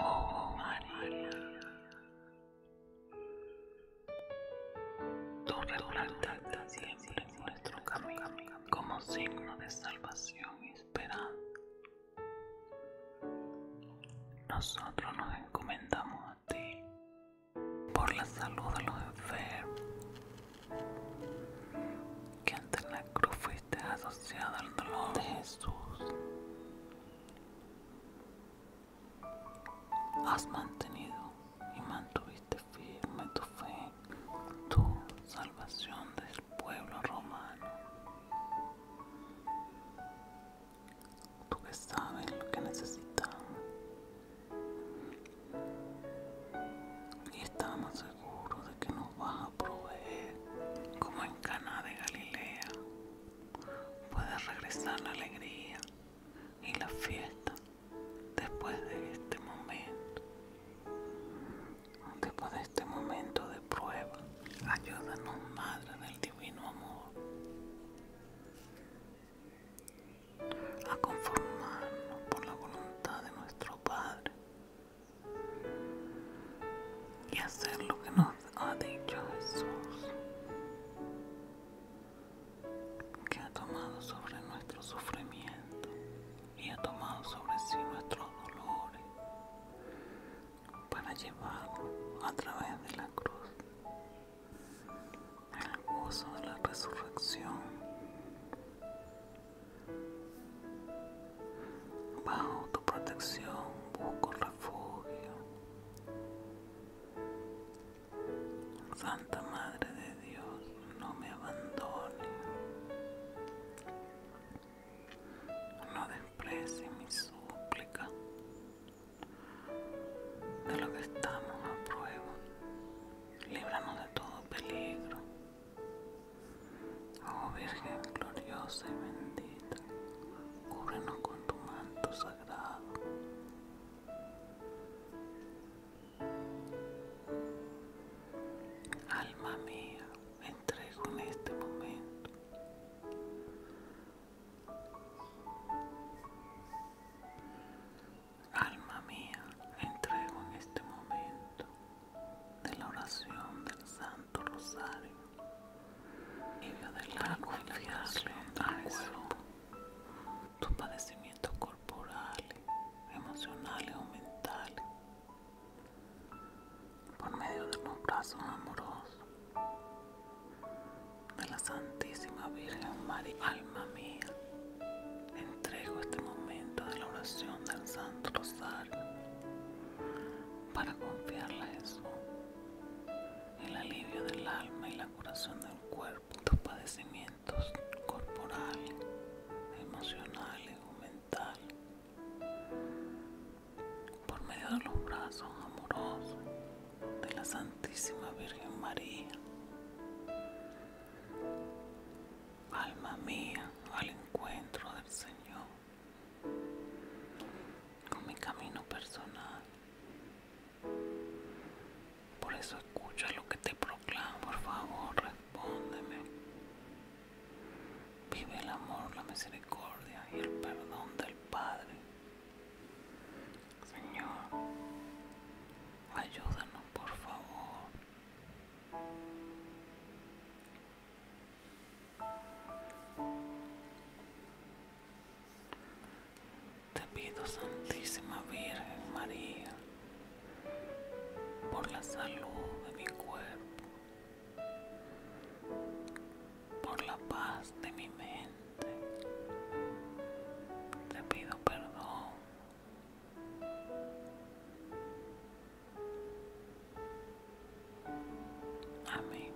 Oh María, tu representaste siempre en nuestro camino como signo de salvación y esperanza. Nosotros nos encomendamos a ti por la salud de los enfermos que ante la cruz está asociada al dolor de Jesús. Has mantenido y mantuviste firme tu fe, tu salvación del pueblo romano. Tú que sabes lo que necesitamos Y estamos seguro de que nos vas a proveer, como en Cana de Galilea, puedes regresar la alegría y la fiesta después de este momento. Después de este momento de prueba, ayúdanos, Madre del Divino Amor a conformarnos por la voluntad de nuestro Padre y hacer lo que nos ha dicho Jesús, que ha tomado sobre nuestro sufrimiento y ha tomado sobre sí nuestros dolores para llevarlo a través de la cruz el gozo de la resurrección, bajo tu protección busco refugio. Santa Madre de Dios, no me abandones no desprecie mi súplica de lo que estamos a prueba. Líbranos de todo peligro. Oh Virgen gloriosa y bendita, cúbrenos con tu manto sagrado. Alma mía, me entrego en este momento Alma mía, entrego en este momento de la oración del Santo Rosario y de la confiarle a cuerpo tus padecimientos corporales, emocionales o mentales por medio de los brazos amorosos de la Santísima Virgen María, alma mía, entrego este momento de la oración del Santo Rosario para confiarle a Jesús el alivio del alma y la curación del cuerpo, tus padecimientos corporales, emocionales o mentales por medio de los brazos amorosos de la Santísima Virgen María. Alma mía, al encuentro del Señor, con mi camino personal. Por eso escucha lo que te proclamo, por favor, respóndeme. Vive el amor, la misericordia y el perdón del Padre. Señor, ayúdanos por favor. Te pido, Santísima Virgen María, por la salud de mi cuerpo por la paz de mi mente. Te pido perdón Amén.